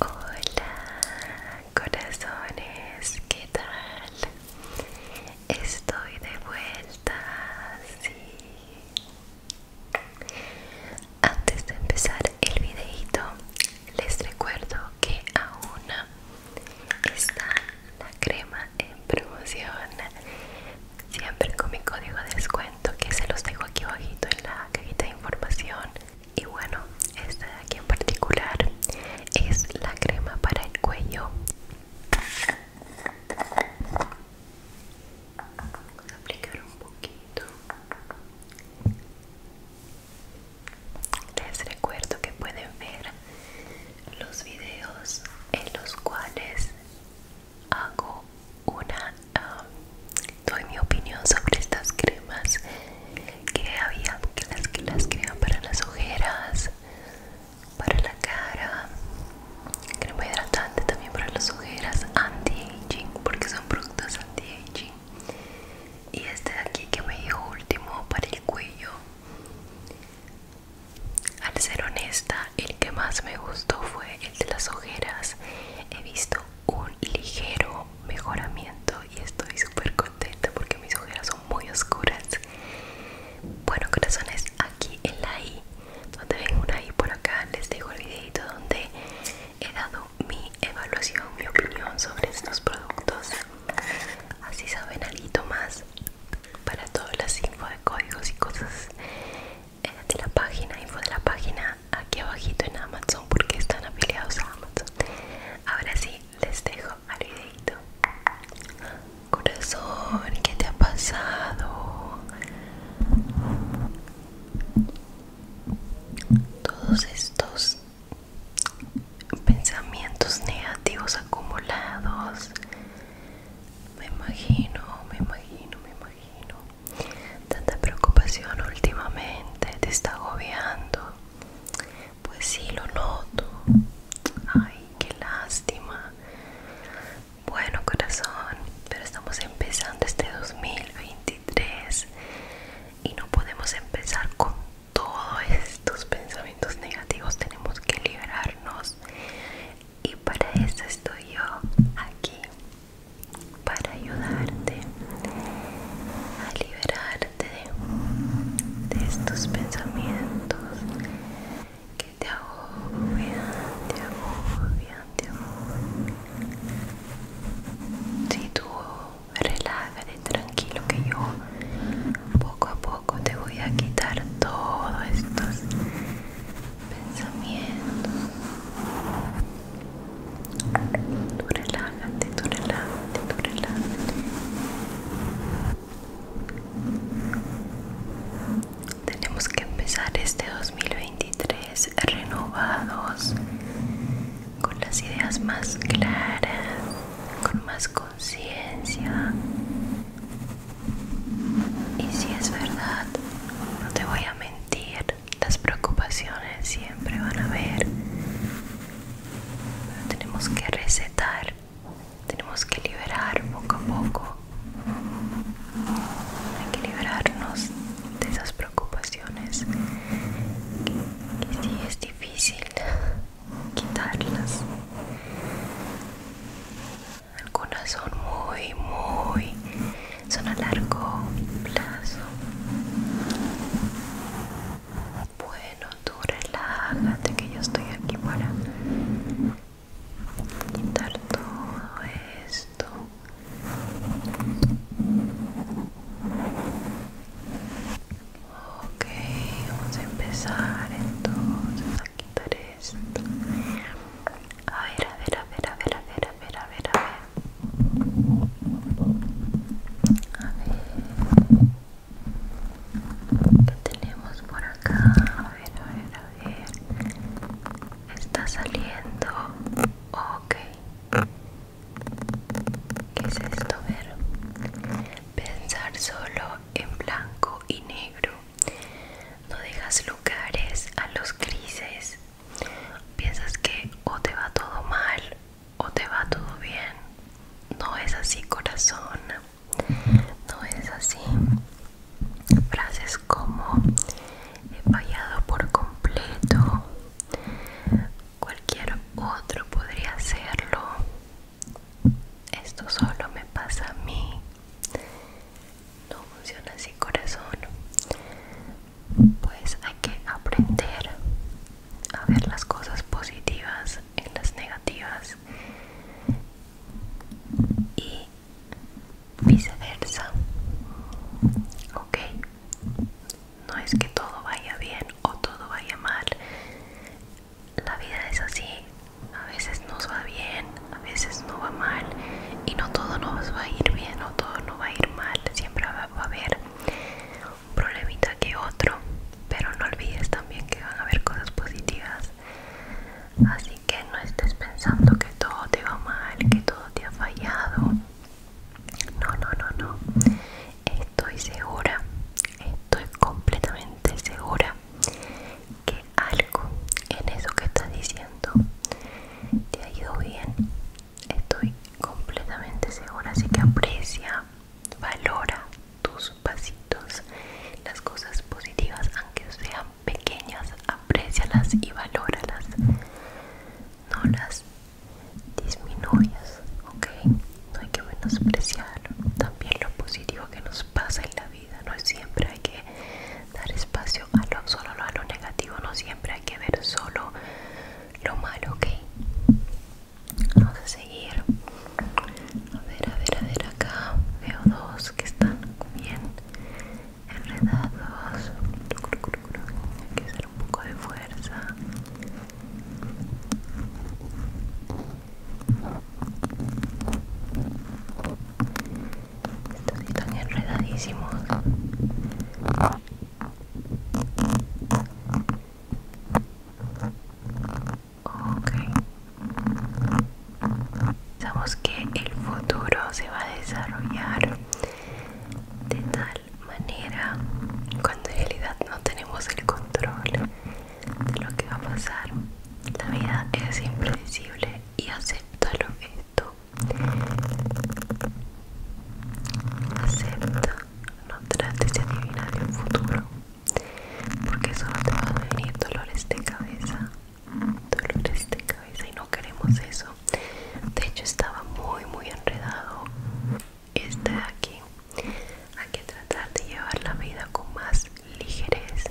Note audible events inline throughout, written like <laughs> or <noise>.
Hola corazones, ¿qué tal? Estoy de vuelta, sí. Antes de empezar el videito, les recuerdo que aún está la crema en promoción. Siempre con mi código de descuento que se los dejo aquí abajito en la cajita de información y bueno esta de aquí en particular es la crema para el cuello vamos a aplicar un poquito les recuerdo que pueden ver los videos en los cuales hago una doy mi opinión sobre estas cremas que había que las que las crean para las ojeras para la cara crema hidratante también para las ojeras anti-aging porque son productos anti-aging y este de aquí que me dijo último para el cuello al ser honesta el que más me gustó fue el de las ojeras he visto un ligero mejoramiento y estoy súper contenta porque mis ojeras son muy oscuras. Bueno, corazones, aquí en la I, donde ven una I por acá, les dejo el videito donde he dado mi evaluación, mi opinión sobre estos productos. Así saben alito más para todas las info de códigos y cosas eh, de la página, info de la página aquí abajito en Amazon porque están afiliados a Amazon. Ahora sí, les dejo al Corazón, ¿qué te ha pasado? Todos estos pensamientos negativos acumulados. Me imagino, me imagino, me imagino. Tanta preocupación últimamente te está agobiando. Pues sí, lo noto. Ay, qué lástima. Bueno, corazón, pero estamos empezando este 2023 y no podemos empezar con todos estos pensamientos negativos. Tenemos que liberarnos. Y para eso estoy yo aquí para ayudarte a liberarte de estos pensamientos que te agobian, te agobian, te agobian. Si tú relájate tranquilo que yo poco a poco te voy a quitar todos estos pensamientos tenemos que empezar este 2023 renovados, con las ideas más claras, con más conciencia. Y si es verdad, no te voy a mentir, las preocupaciones siempre van a haber. tenemos que recetar, tenemos que liberar poco a poco. Hay que liberarnos de esas preocupaciones. que si es difícil quitarlas, algunas son muy, muy son a largo plazo. Bueno, tú relájate que yo estoy aquí para quitar todo esto. Ok, vamos a empezar entonces a quitar esto. A ver, a ver, a ver, a ver, a ver, a ver, a ver. A ver. ¿Qué tenemos por acá? A ver, a ver, a ver. Está saliendo. Ok. ¿Qué es esto? A ver. Pensar solo en blanco y negro. No dejas lugares a los grises. Piensas que o te va todo mal o te va todo bien. No es así, corazón. No es así. Frases como he fallado por completo. Cualquier otro podría hacerlo. Esto solo me pasa a mí. No funciona así, corazón pues hay que aprender a ver las cosas positivas en las negativas y viceversa ok no es que todo vaya bien o todo vaya mal la vida es así a veces nos va bien a veces no va mal y no todo nos va a ir bien o todo no va a ir mal siempre va a haber un problemita que otro pero no olvides también que van a haber cosas positivas así que no estés pensando que todo te va mal que todo te ha fallado no no no no estoy segura estoy completamente segura que algo en eso que estás diciendo te ha ido bien Estoy completamente segura, así que aprecia, valora tus pasitos, las cosas positivas, aunque sean pequeñas, aprecialas y valóralas. No las disminuyas, ¿ok? No hay que menospreciar también lo positivo que nos pasa en la vida. No siempre hay que dar espacio a lo, solo a lo negativo, no siempre hay que ver solo lo malo, ok. Vamos a seguir. A ver, a ver, a ver acá. Veo dos que están bien enredados. Hay que hacer un poco de fuerza. Estos están enredadísimos. Ok. Sabemos que el futuro se va a desarrollar de tal manera cuando en realidad no tenemos el control de lo que va a pasar. La vida es impredecible y lo esto. Acepta, no trates de adivinar el futuro, porque solo te van a venir dolores de cabeza, dolores de cabeza y no queremos eso. De hecho estaba muy muy enredado este de aquí. Hay que tratar de llevar la vida con más ligereza.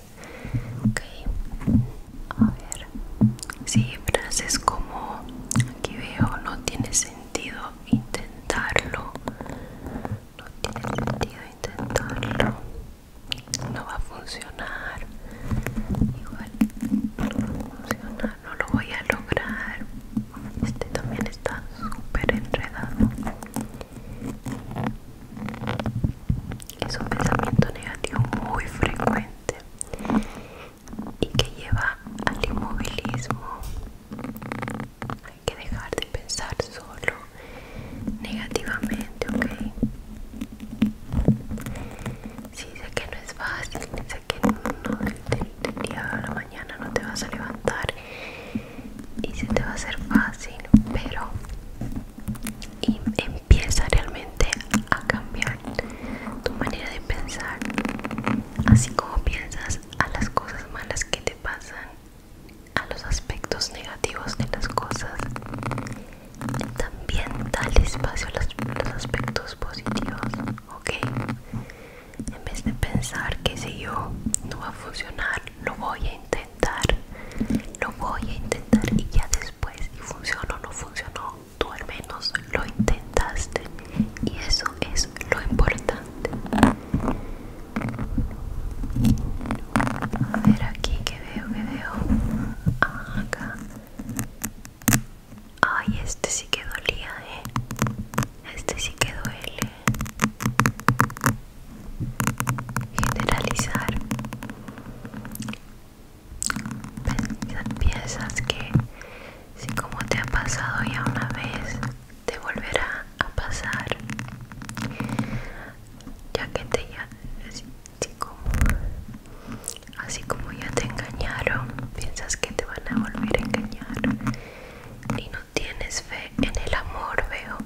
Ok, a ver. Sí, frases como aquí veo no tiene sentido sentido intentarlo no tiene sentido intentarlo no va a funcionar igual no va a funcionar no lo voy a lograr este también está súper enredado es un pensamiento negativo muy frecuente y que lleva al inmovilismo. Hay que dejar de pensar solo negativamente, ¿ok? si sé que no es fácil, sé que no, día la mañana no te vas a levantar y si te va a ser fácil, pero y empieza realmente a cambiar tu manera de pensar. Así como piensas, a las cosas malas que te pasan, a los aspectos negativos de las cosas. También dale espacio a los, los aspectos positivos, ¿ok? En vez de pensar que si yo no va a funcionar, lo voy a intentar, lo voy a intentar y ya después si funcionó o no funcionó, tú al menos lo intentaste y eso es lo importante a ver aquí que veo que veo acá ay este sí que dolía eh este sí que duele generalizar piensas pues, que si como te ha pasado ya una vez, te volverá a pasar. Ya que te ya, así, como, así como ya te engañaron, piensas que te van a volver a engañar. Y no tienes fe en el amor, veo.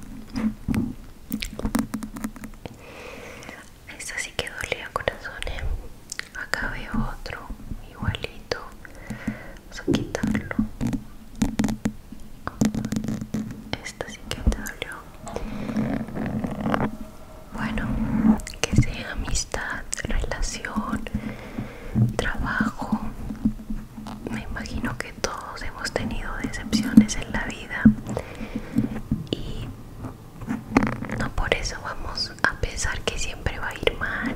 Esta sí que dolía corazones. ¿eh? Acá veo otro igualito. Vamos a quitarlo. Esta sí que te dolió. Bueno, que sea amistad, relación, trabajo. Me imagino que todos hemos tenido decepciones en la vida y no por eso vamos a pensar que siempre va a ir mal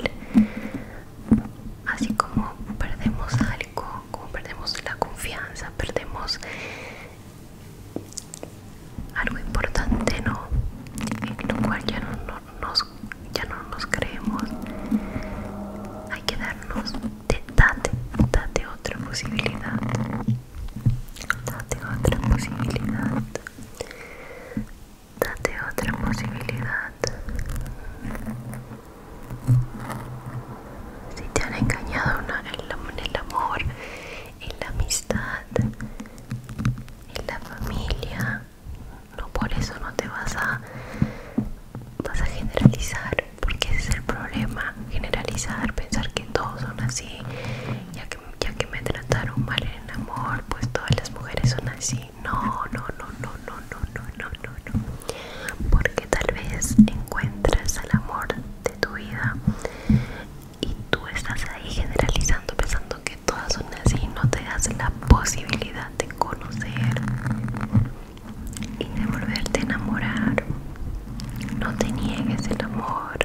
así como perdemos algo, como perdemos la confianza, perdemos algo importante, ¿no? En lo cual ya no, nos, creemos. Hay que darnos, de, otra posibilidad. Date otra posibilidad. Date otra posibilidad. Si te han engañado en el amor, en la amistad, en la familia, no por eso no te vas a vas a generalizar, porque ese es el problema, generalizar, pensar que todos son así, ya que ya que me trataron mal en el amor, pues todas las mujeres son así no, no, no, no, no, no, no, no, no, Porque tal vez encuentres el amor de tu vida y tú estás ahí generalizando, pensando que todas son así, no te das la posibilidad de conocer y de volverte a enamorar. No te niegues el amor,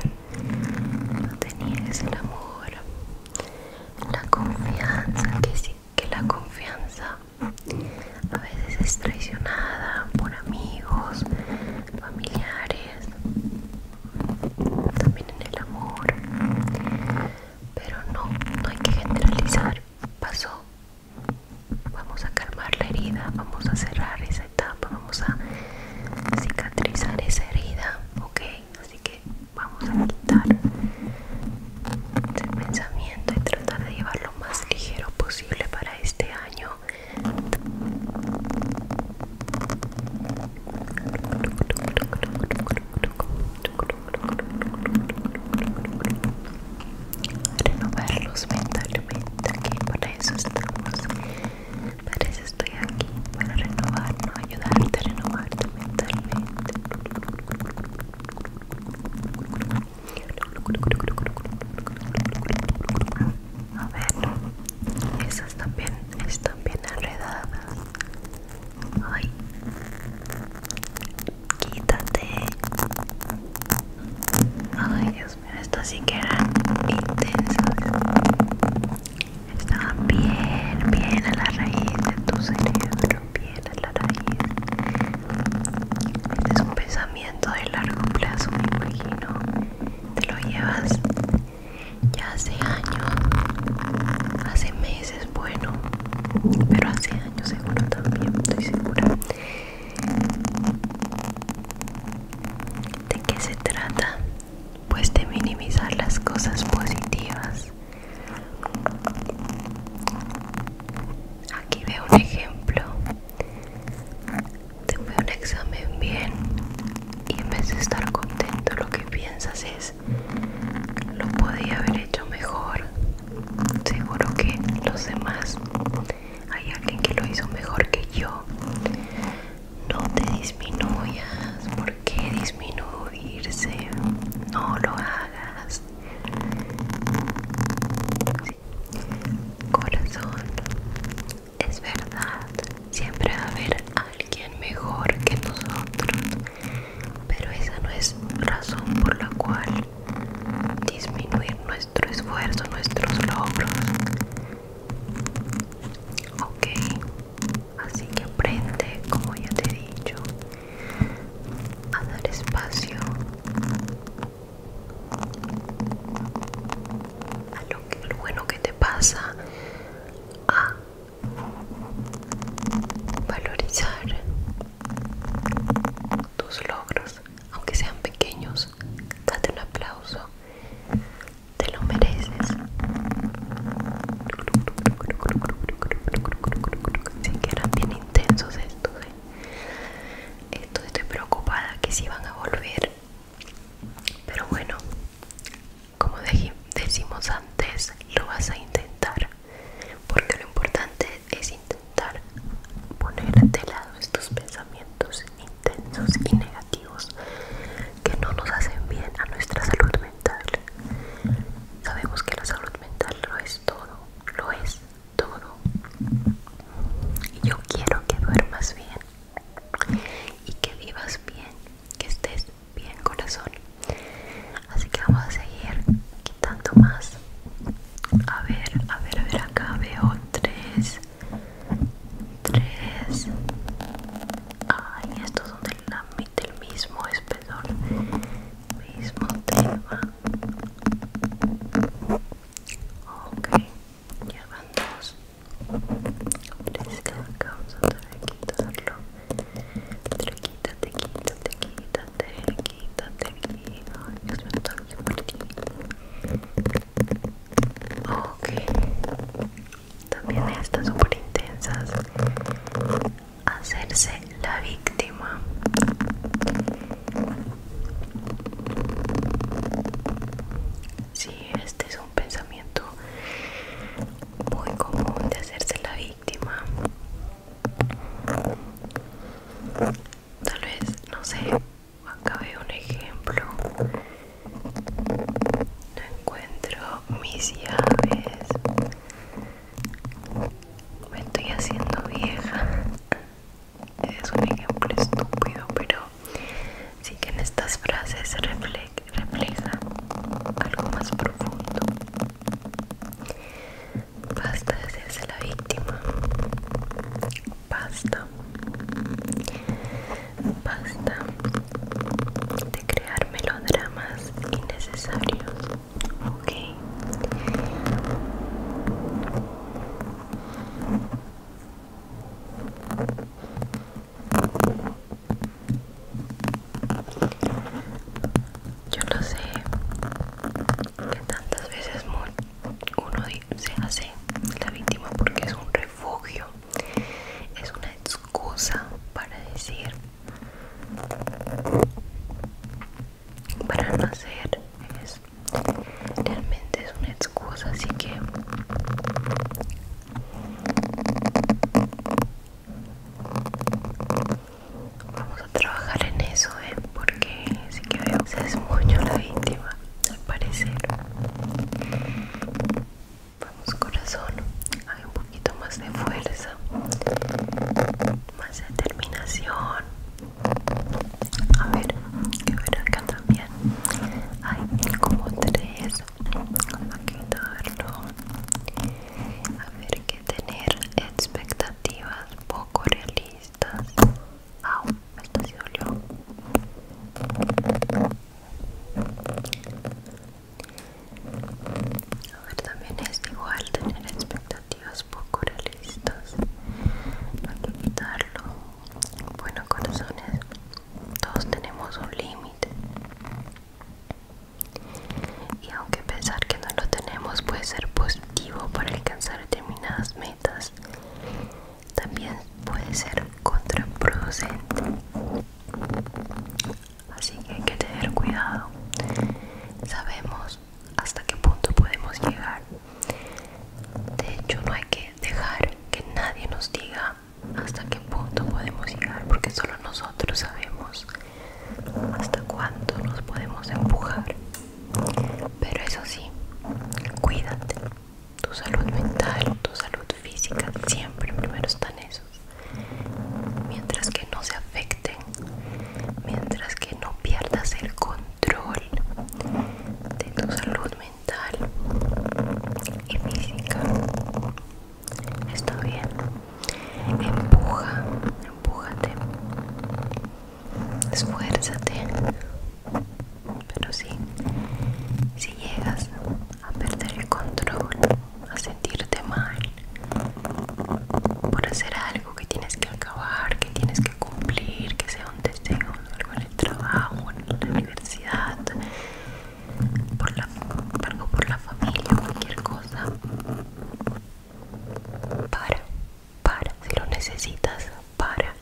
no te niegues el amor. La confianza que si que la confianza a veces es traicionada por amigos, familiares, también en el amor. Pero no, no hay que generalizar. Pasó. Vamos a calmar la herida, vamos a cerrar esa etapa, vamos a cicatrizar esa herida, ¿ok? Así que vamos a quitar el este pensamiento y tratar de llevarlo lo más ligero posible para este año renovarlos mentalmente aquí para eso estamos para eso estoy aquí para renovarnos ayudarte a renovarte mentalmente a ver, esas también están bien enredadas. Ay, quítate. Ay, Dios mío, estas sí que eran intensas. Estaban bien, bien a la raíz de tu cerebro la este es un pensamiento de largo plazo, me imagino. Te lo llevas ya hace años, hace meses, bueno, pero hace años seguro también, estoy segura. ¿De qué se trata? Pues de minimizar las cosas positivas Aquí veo un ejemplo Te fue un examen bien Y en vez de estar contento lo que piensas es Lo podía haber hecho mejor Seguro que los demás Hay alguien que lo hizo mejor que yo No te disminuyas ¿Por qué disminuirse? No lo hagas corazón es verdad siempre va a haber alguien mejor que nosotros pero esa no es razón por la cual disminuir nuestro esfuerzo nuestros logros ok así que aprende como ya te he dicho a dar espacio a lo, bueno que te pasa, a valorizar tus logros, aunque sean pequeños, date un aplauso, te lo mereces. que eran intensos ¿eh? estos. estoy preocupada que si van a volver. Pero bueno, como decimos antes, lo vas a intentar. Porque lo importante es intentar poner de lado estos pensamientos intensos y negativos que no nos hacen bien a nuestra salud mental Sabemos que la salud mental lo es todo, lo es todo. Y yo quiero que duermas bien y que vivas bien, que estés bien corazón. Así que vamos a seguir quitando más. A ver, a ver, a ver, acá veo tres. Tres. Ay, estos son de la del mismo espesor, mismo tema. Ok, ya dos. quitarlo. quítate, quítate, quítate, quítate. Ok, también estas súper intensas hacerse la víctima. Sí, este es un pensamiento muy común de hacerse la víctima. Tal vez, no sé, acá veo un ejemplo. No encuentro mis llaves me estoy haciendo vieja es un ejemplo estúpido pero sí que en estas frases refleja algo más profundo basta de serse la víctima basta basta de crear melodramas innecesarios Ok. Yo no sé que tantas veces uno se hace la víctima porque es un refugio, es una excusa para decir para no hacer realmente es una excusa así que vamos a trabajar en eso ¿eh? porque si que veo se es la víctima al parecer vamos corazón hay un poquito más de fuerza más determinación. A ver, que ver acá también. Hay como tres. Aquí darlo. A ver, que tener expectativas poco realistas. Au, esto sí dolió. A ver, también es igual tener expectativas poco realistas. para evitarlo Bueno, corazones, todos tenemos un límite. Y aunque pensar que no lo tenemos puede ser positivo para alcanzar determinadas metas, también puede ser contraproducente. Así que hay que tener cuidado. Sabemos hasta qué punto podemos llegar. De hecho, no hay que dejar que nadie nos diga hasta qué punto podemos llegar, porque solo nosotros sabemos hasta cuánto nos podemos empujar. Pero eso sí, cuídate. Tu salud mental, tu salud física, siempre primero están esos. Mientras que no se afecten mientras que no pierdas el control de tu salud mental y física. Está bien. Empuja, empújate. Esfuérzate. Pero sí, si llegas a perder el control, a sentirte mal, por hacer algo que tienes que acabar, que tienes que cumplir, que sea un deseo, algo en el trabajo, en la universidad, por la, algo por la familia, cualquier cosa. Para, para, si lo necesitas, para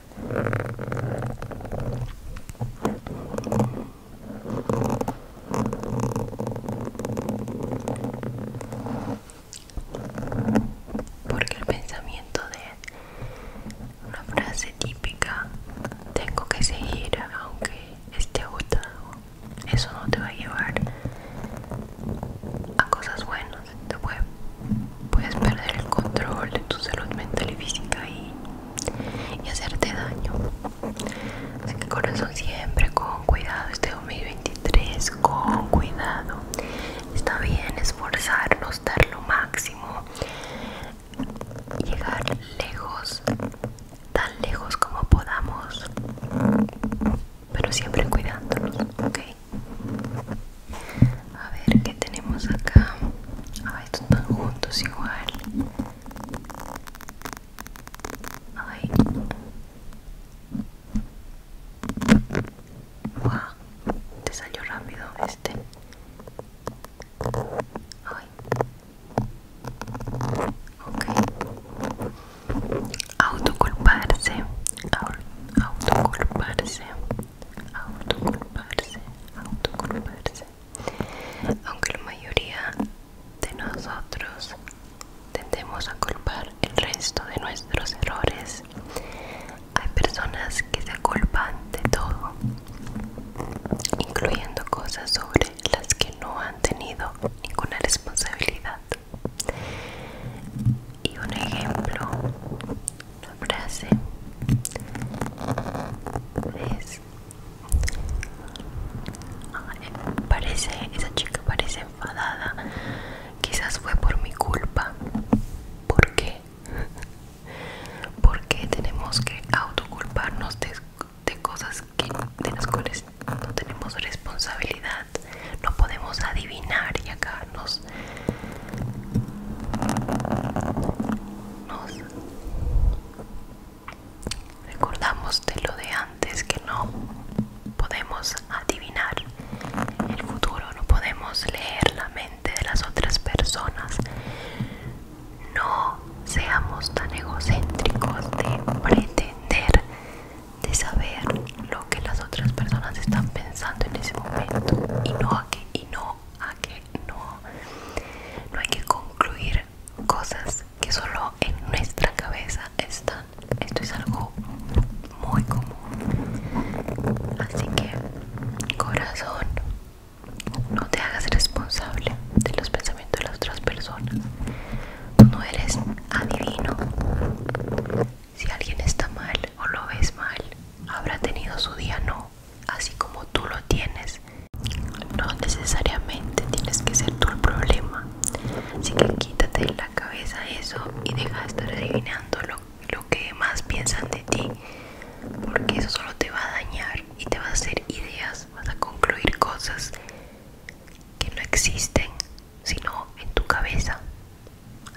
porque el pensamiento de una frase típica tengo que seguir aunque esté agotado eso no te va a llevar a cosas buenas te puedes perder el control de tu salud mental y física y, hacerte daño así que corazón siempre con cuidado este 2023 con cuidado. Está bien esforzarnos, dar lo máximo, llegar lejos, tan lejos como podamos, pero siempre cuidándonos, ¿ok? A ver qué tenemos acá. Ah, estos están juntos igual. Ay te salió rápido este. Autoculparse. Autoculparse. Autoculparse. Autoculparse. Aunque la mayoría de nosotros Tendemos a culpar el resto de nuestros errores. Hay personas que se culpan de todo, incluyendo cosas sobre las que no han tenido ninguna responsabilidad. Y un ejemplo, una frase es parece esa chica parece enfadada Quizás fue por mi culpa. ¿Por qué? <laughs> qué tenemos que autoculparnos de, de cosas de las cuales no tenemos responsabilidad. No podemos adivinar y acá nos recordamos de lo de antes que no podemos adivinar el futuro, no podemos leer la mente de las otras personas. No seamos tan egocéntricos de pretender de saber lo que las otras personas están pensando en ese momento y no a que y no a que no no hay que concluir cosas que solo en nuestra cabeza están. Esto es algo muy común. Así que, corazón, no te hagas responsable de los pensamientos de las otras personas. No eres adivino. Si alguien está mal o lo ves mal, habrá tenido su día no, así como tú lo tienes. No necesariamente tienes que ser tú el problema. Así que quítate de la cabeza eso y deja de estar adivinando lo, que más piensan de ti, porque eso solo te va a dañar y te va a hacer ideas, vas a concluir cosas que no existen sino en tu cabeza.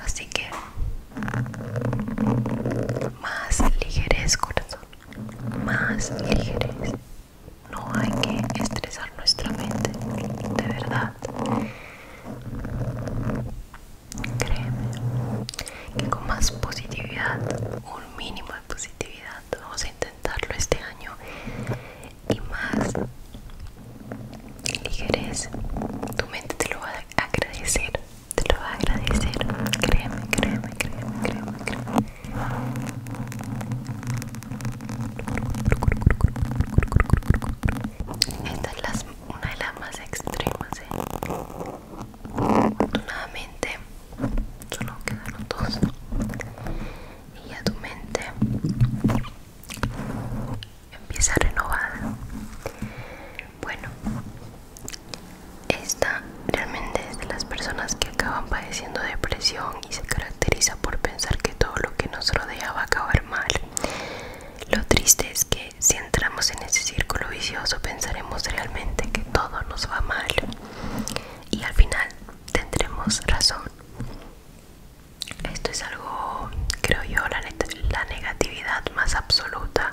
Así que más ligerez, corazón, más ligerez. No hay que estresar nuestra mente, de verdad. Créeme que con más positividad, un mínimo de positividad, vamos a intentarlo este año y más ligereza. Tu mente te lo va a agradecer, te lo va a agradecer. Créeme, créeme, créeme, créeme, créeme una de las más extremas, ¿eh? Afortunadamente, solo quedaron dos. Y ya tu mente empieza renovada. Bueno, esta realmente es de las personas que acaban padeciendo depresión y se caracteriza por pensar que todo lo que nos rodea va a acabar mal lo triste es que si entramos en ese círculo vicioso pensaremos realmente que todo nos va mal y al final tendremos razón. Esto es algo, creo yo, la, negatividad más absoluta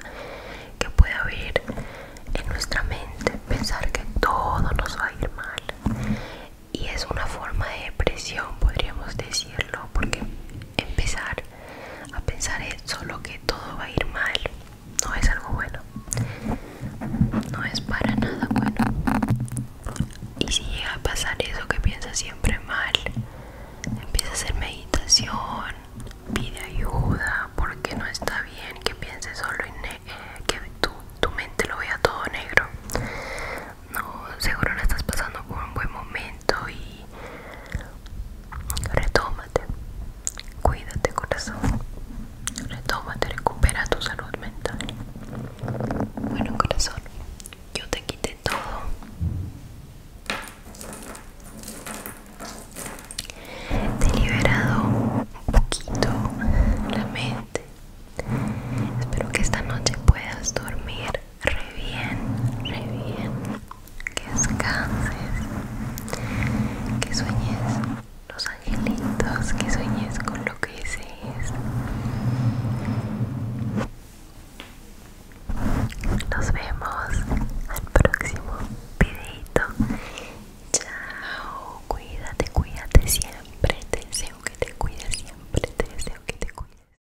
que puede haber en nuestra mente, pensar que todo nos va a ir mal. Y es una forma de depresión, podríamos decirlo, porque empezar a pensar solo que todo va a ir mal no es algo bueno no es para nada bueno y si llega a pasar eso que piensa siempre mal empieza a hacer meditación pide ayuda porque no está bien que pienses solo en eh, que tu, tu mente lo vea todo negro no seguro no estás pasando por un buen momento y retómate cuídate corazón retómate recupera tu salud mental bueno corazón yo te quité todo te he liberado un poquito la mente Espero que esta noche puedas dormir re bien, re bien. Que descanses, que sueñes los angelitos, que sueñes con lo que dices Nos vemos al próximo videito. Chao, cuídate, cuídate siempre. Te deseo que te cuides siempre. Te deseo que te cuides.